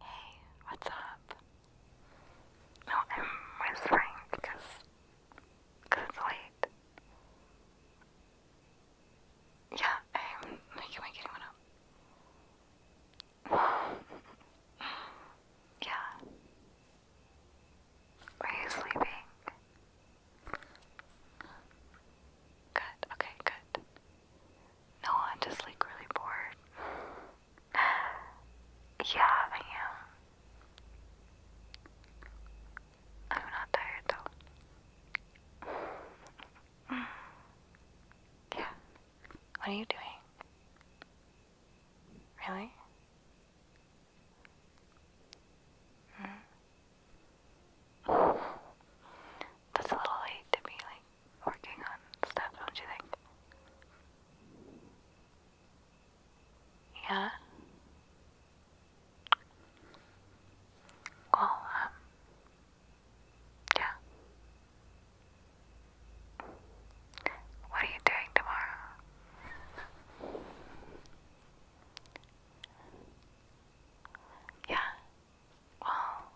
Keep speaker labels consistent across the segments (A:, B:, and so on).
A: Hey, what's up? No, I'm whispering because cause it's late. Yeah, I'm like, am I up? yeah. Are you sleeping? Good, okay, good. No, i just like really bored. Yeah, I am. I'm not tired though. yeah. What are you doing? Really? That's a little late to be like working on stuff, don't you think? Yeah. Well, um, yeah. What are you doing tomorrow? Yeah. Well,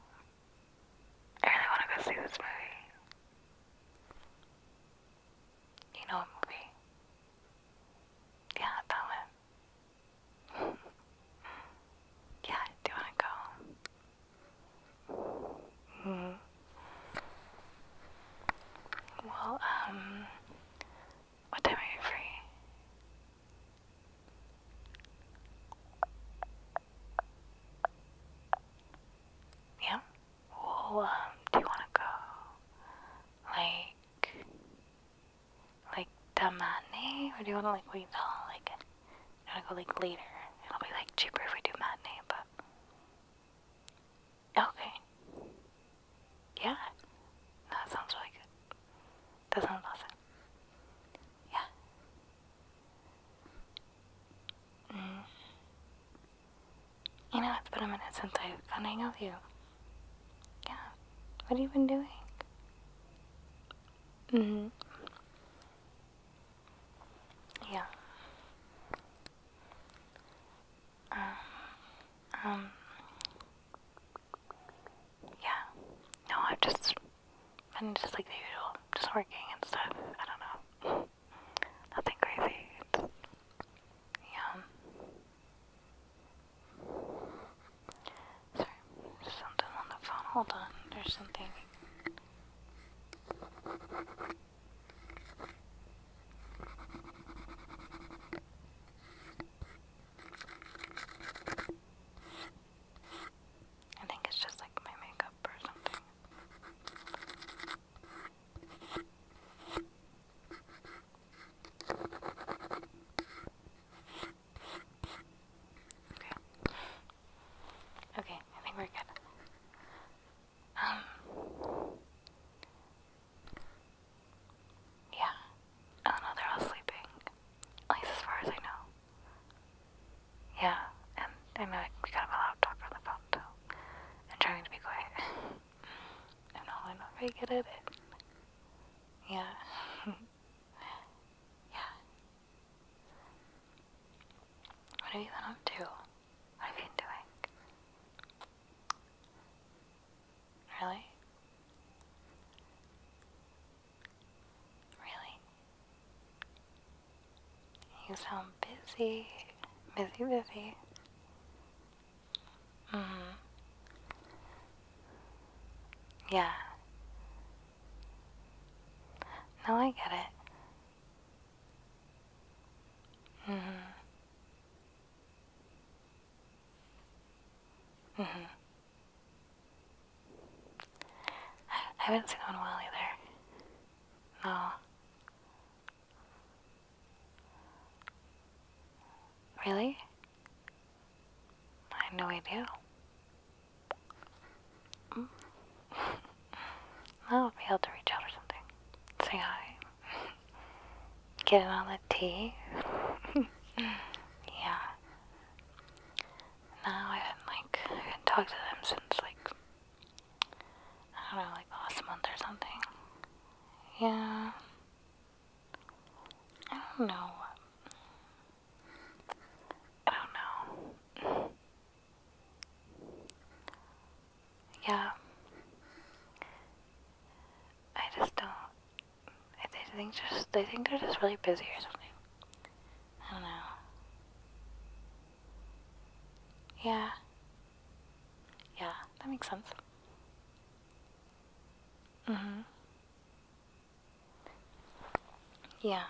A: I really want to go see this movie. You know what movie? Yeah, that one. yeah, do you want to go? hmm. Well, um, what time are you free? Yeah? Well, um, do you wanna go? Like, like, matinee? Or do you wanna, like, wait till, like, you wanna go, like, later? It'll be, like, cheaper if we do matinee, but. Okay. Yeah. That sounds really good. That sounds awesome. Yeah. Mm. You know, it's been a minute since I've gone a out with you. Yeah. What have you been doing? hmm Yeah. Um, um, yeah. No, I've just been just like usual, just working and stuff. I don't know. Nothing crazy. yeah. Sorry, something on the phone. Hold on, there's something. I think it's just like my makeup or something. Okay. Okay, I think we're good. Um. Yeah. Oh no, they're all sleeping. At least as far as I know. Yeah, and I know we kind of a talk on the phone too. I'm trying to be quiet. I'm not really not very good at it. Yeah. yeah. What have you been up to? What have been doing? Really? Really? You sound busy, busy, busy. Mm hmm. Yeah. Now I get it. Mm-hmm. mm-hmm. Mm-hmm. I, haven't seen one while either. No. Really? I had no idea. Mm. I will be able to reach out or something. Say hi. Get it on the tea. yeah. No, I haven't like I haven't talked to them since like I don't know, like last month or something. Yeah. I don't know. I don't know. Yeah. I just don't. I think just they think they're just really busy or something. I don't know. Yeah. Yeah, that makes sense. Mhm. Yeah.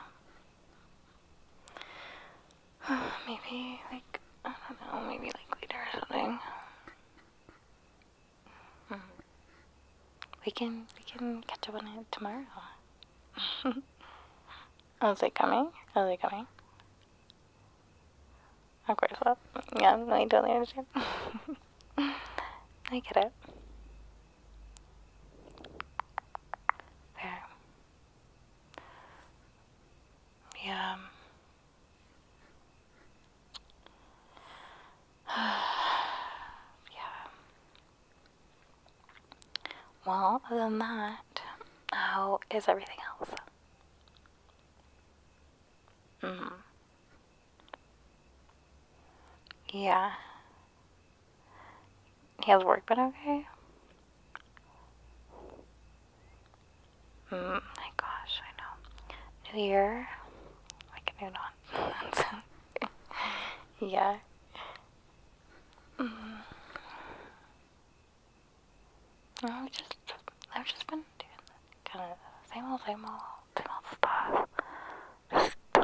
A: maybe like I don't know, maybe like later or something. Hmm. We can we can catch up on it tomorrow. Are they coming? Are they coming? Of course not. Yeah, no, I totally understand. I get it. Fair. Yeah. yeah. Well, other than that, how is everything else? Mm. Yeah. He has work but okay? Mm, my gosh, I know. New year, like a new dawn. yeah. Mm. I've just, I've just been doing kind of same old, same old, same old stuff. Um,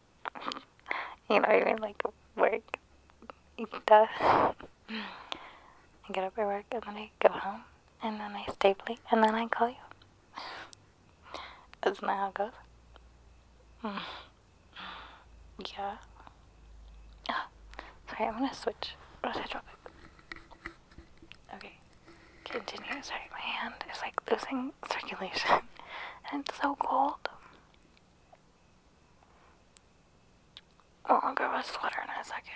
B: you know, even like work
A: stuff. and get up and work and then I go home and then I stay late and then I call you. That's not how it goes. Mm. Yeah. Oh, sorry, I'm gonna switch. What was I drop? Okay. Continue. Sorry, my hand is like losing circulation. and it's so cold. Oh, I'll go with sweater in a second.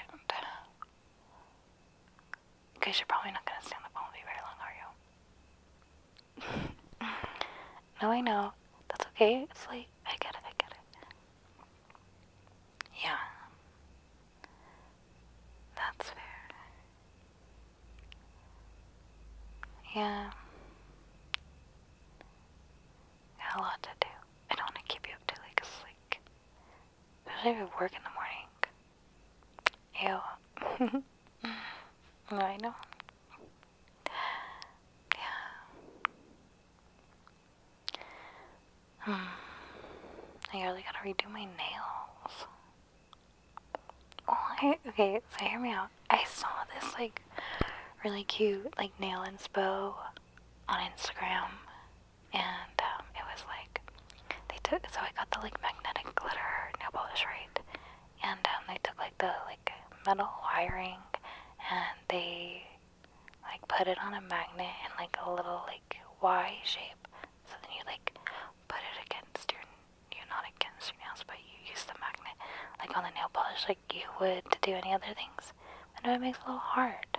A: Okay, you're probably not going to stay on the phone with very long, are you? no, I know. That's okay. It's late. I get it. I get it. Yeah. That's fair. Yeah. Got a lot to do. I don't want to keep you up too late because, like, especially if you work in the morning. Ew. I know. Yeah. Hmm. I really gotta redo my nails. Oh, I, okay, so hear me out. I saw this like really cute like nail and inspo on Instagram, and um, it was like they took so I got the like magnetic glitter nail polish right, and um, they took like the like metal wiring and they like put it on a magnet in like a little like Y shape, so then you like put it against your you're not against your nails, but you use the magnet like on the nail polish like you would to do any other things. I know it makes a little hard.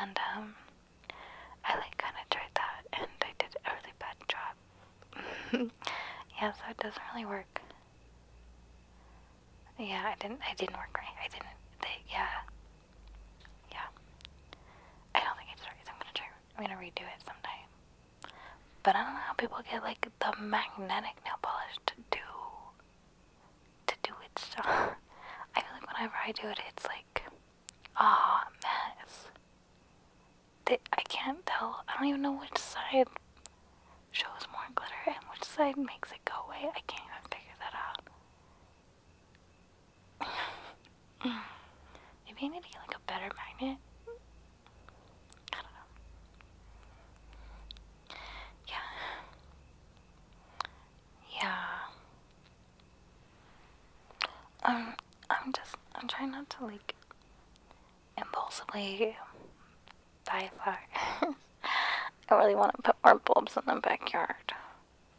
A: And um, I like kinda tried that and I did a really bad job. yeah, so it doesn't really work. Yeah, I didn't I didn't work right. I didn't they yeah. Yeah. I don't think it's right. I'm gonna try I'm gonna redo it sometime. But I don't know how people get like the magnetic nail polish to do to do its I feel like whenever I do it, it's like ah oh, mess. I can't tell. I don't even know which side shows more glitter and which side makes it go away. I can't even figure that out. Maybe I need to get like a better magnet. I don't know. Yeah. Yeah. Um, I'm just, I'm trying not to like impulsively die flowers. I really want to put more bulbs in the backyard.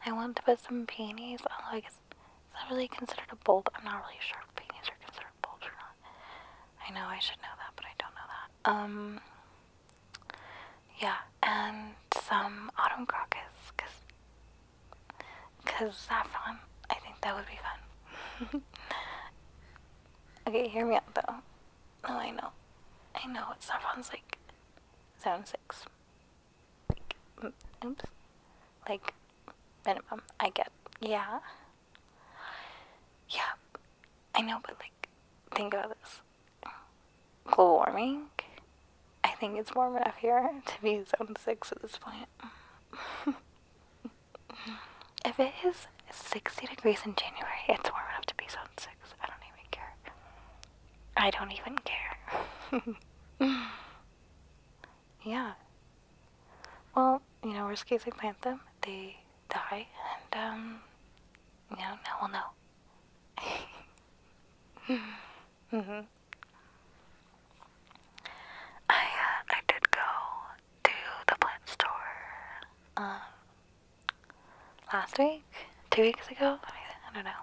A: I want to put some peonies, although I guess, is that really considered a bulb? I'm not really sure if peonies are considered bulbs or not. I know I should know that, but I don't know that. Um, yeah, and some autumn crocus, cause, cause saffron. I think that would be fun. okay, hear me out though. No, I know, I know. Saffron's like Seven six. Like, oops, like minimum. I get. Yeah, yeah, I know, but like, think about this global warming. I think it's warm enough here to be zone 6 at this point. if it is 60 degrees in January, it's warm enough to be zone 6. I don't even care. I don't even care. Yeah. Well, you know, worst case, I plant them, they die, and, um, you know, now we'll know. mm hmm. I, uh, I did go to the plant store, um, last week? Two weeks ago? I don't know.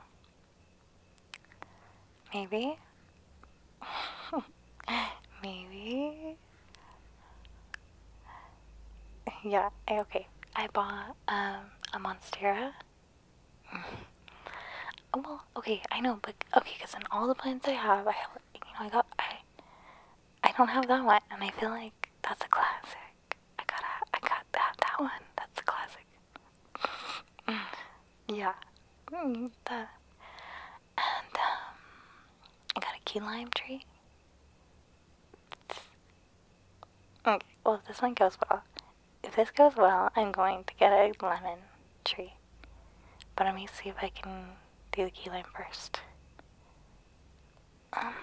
A: Maybe? Maybe. Yeah, okay. I bought um a Monstera. Mm. well, okay, I know, but okay, because in all the plants I have, I you know, I got I I don't have that one, and I feel like that's a classic. I gotta, I got that that one. That's a classic. Mm. yeah, mm, that. And um, I got a key lime tree. Okay, mm, well, if this one goes well, if this goes well, I'm going to get a lemon tree. But let me see if I can do the key lime first. Um,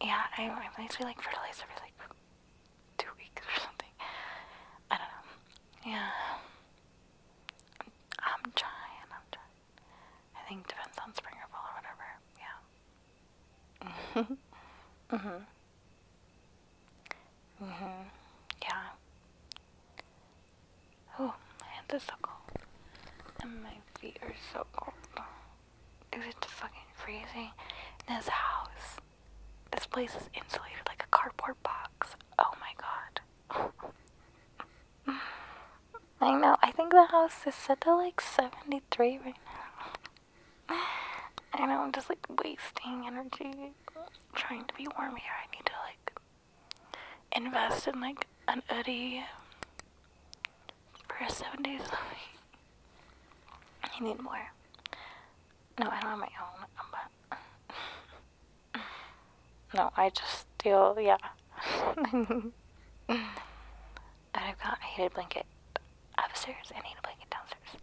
A: yeah, I, I might be like fertilizer for like two weeks or something. I don't know. Yeah. I'm, i trying, I'm trying. I think depends on spring or fall or whatever. Yeah. mhm. Mhm. Yeah. Oh, my hands are so cold, and my feet are so cold. Dude, it's fucking freezing in this house. This place is insulated like a cardboard box. Oh my god. I know, I think the house is set to like 73 right now. I know, I'm just like wasting energy trying to be warm here. I need to like invest in like an hoodie for 70 something. I need more. No, I don't have my own, no, I just still yeah. and I've got a heated blanket upstairs and a heated blanket downstairs.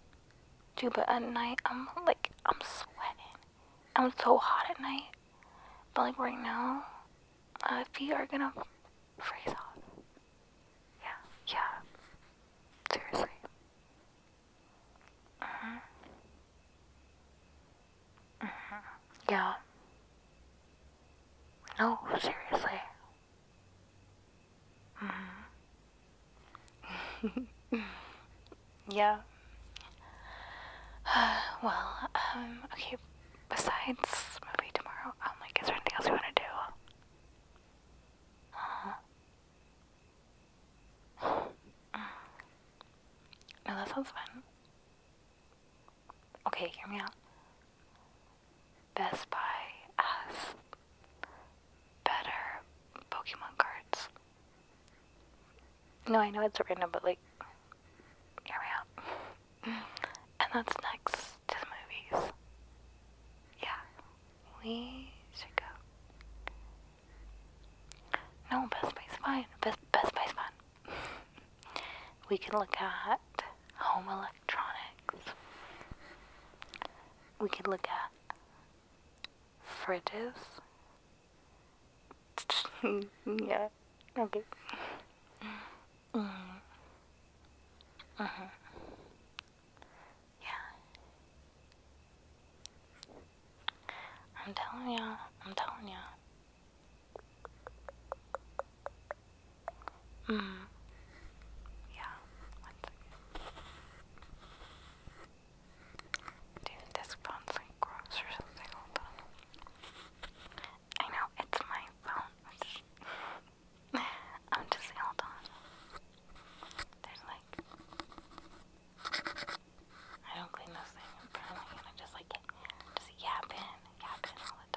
A: too. but at night, I'm like, I'm sweating. I'm so hot at night. But like right now, uh, feet are gonna freeze off. Yeah, yeah. Seriously. Mhm. Mhm. Yeah. No, seriously. Mhm. yeah. well, um, okay. Besides movie tomorrow, um, like, is there anything else we want to do? Uh huh. No, that sounds fun. Okay, hear me out. Best Buy us, better Pokemon cards. No, I know it's random, but like, hear me out. And that's next to the movies. Yeah. We should go. No, Best Buy's fine. Best, Best Buy's fine. we can look at home electronics. We could look at fridges. yeah. Okay. Mm. Uh-huh. Yeah. I'm telling y'all, I'm telling y'all. Mm. Yeah, Dude, this phone's like gross or something, hold on. I know, it's my phone. I'm just, i on. There's I don't clean those things in front just like just yap in, yap in all the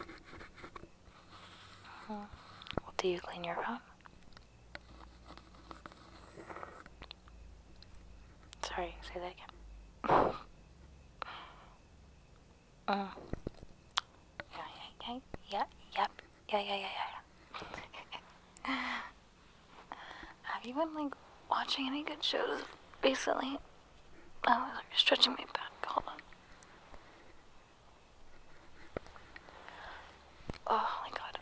A: time. Mm-hmm. do you clean your phone? Sorry, say that again. Mm. Yeah, uh. yeah, yeah, yeah, yeah, yeah, yeah, yeah, yeah. Have you been like watching any good shows recently? Oh, you're stretching my back. Hold on. Oh my god,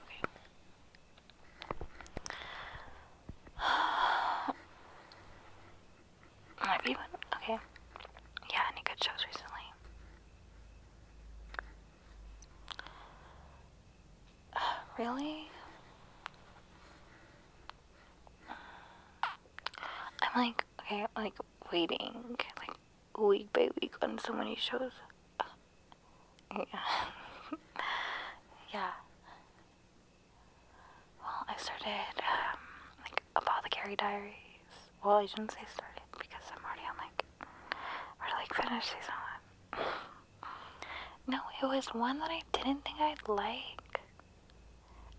A: okay. Have you been? Okay. Yeah, any good shows recently? really? Mm. I'm like, okay, like waiting, like week by week on so many shows. yeah. yeah. Well, I started um, like Apothecary Diaries. Well, I shouldn't say started because I'm already on like, or like finished these one. no, it was one that I didn't think I'd like.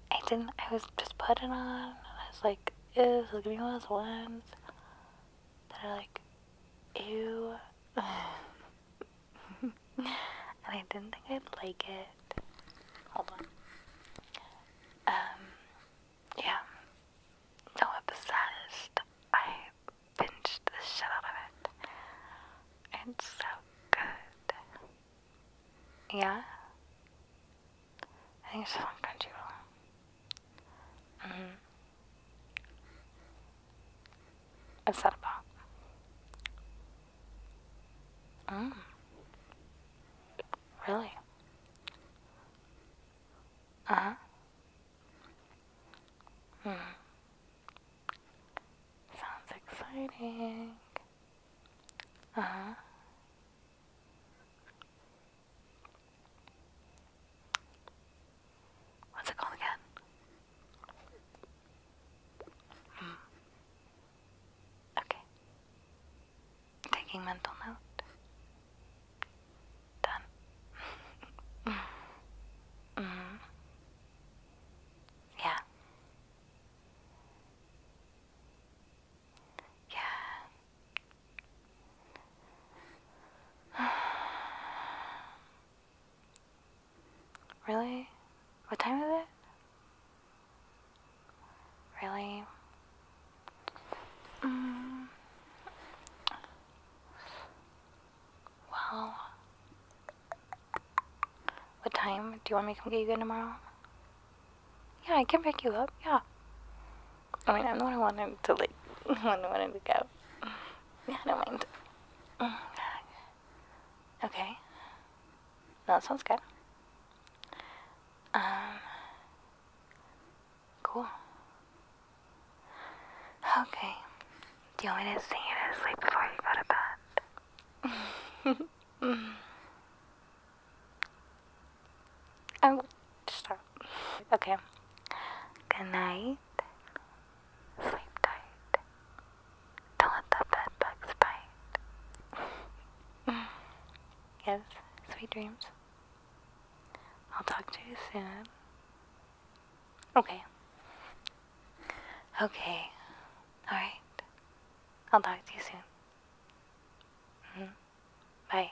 A: I didn't, I was just putting on I was like, ew, this is gonna one of those ones that are like, ew. and I didn't think I'd like it. Hold on. Um, yeah. So obsessed. I binged the shit out of it. It's so good. Yeah? I think it's on Crunchyroll. Mm-hmm. Mm hmm. What's that about? Mm. Really? Uh huh. Hmm. Sounds exciting. Uh huh. What's it called again? Hmm. Okay. Taking mental note. Done. Mm-hmm. Yeah. Yeah. really? What time is it? Really? Mm. Well, what time? Do you want me to come get you again tomorrow? Yeah, I can pick you up. Yeah. I mean, I'm the one who wanted to like, the one who wanted to go. Yeah, I don't mind. Mm. Okay. That sounds good. Um, cool. Okay. Do you want me to sing it to sleep before you go to bed? oh, stop. Okay. Good night. Sleep tight. Don't let the bed bugs bite. yes, sweet dreams. I'll talk to you soon. Okay. Okay. Alright. I'll talk to you soon. Mm-hmm. Bye.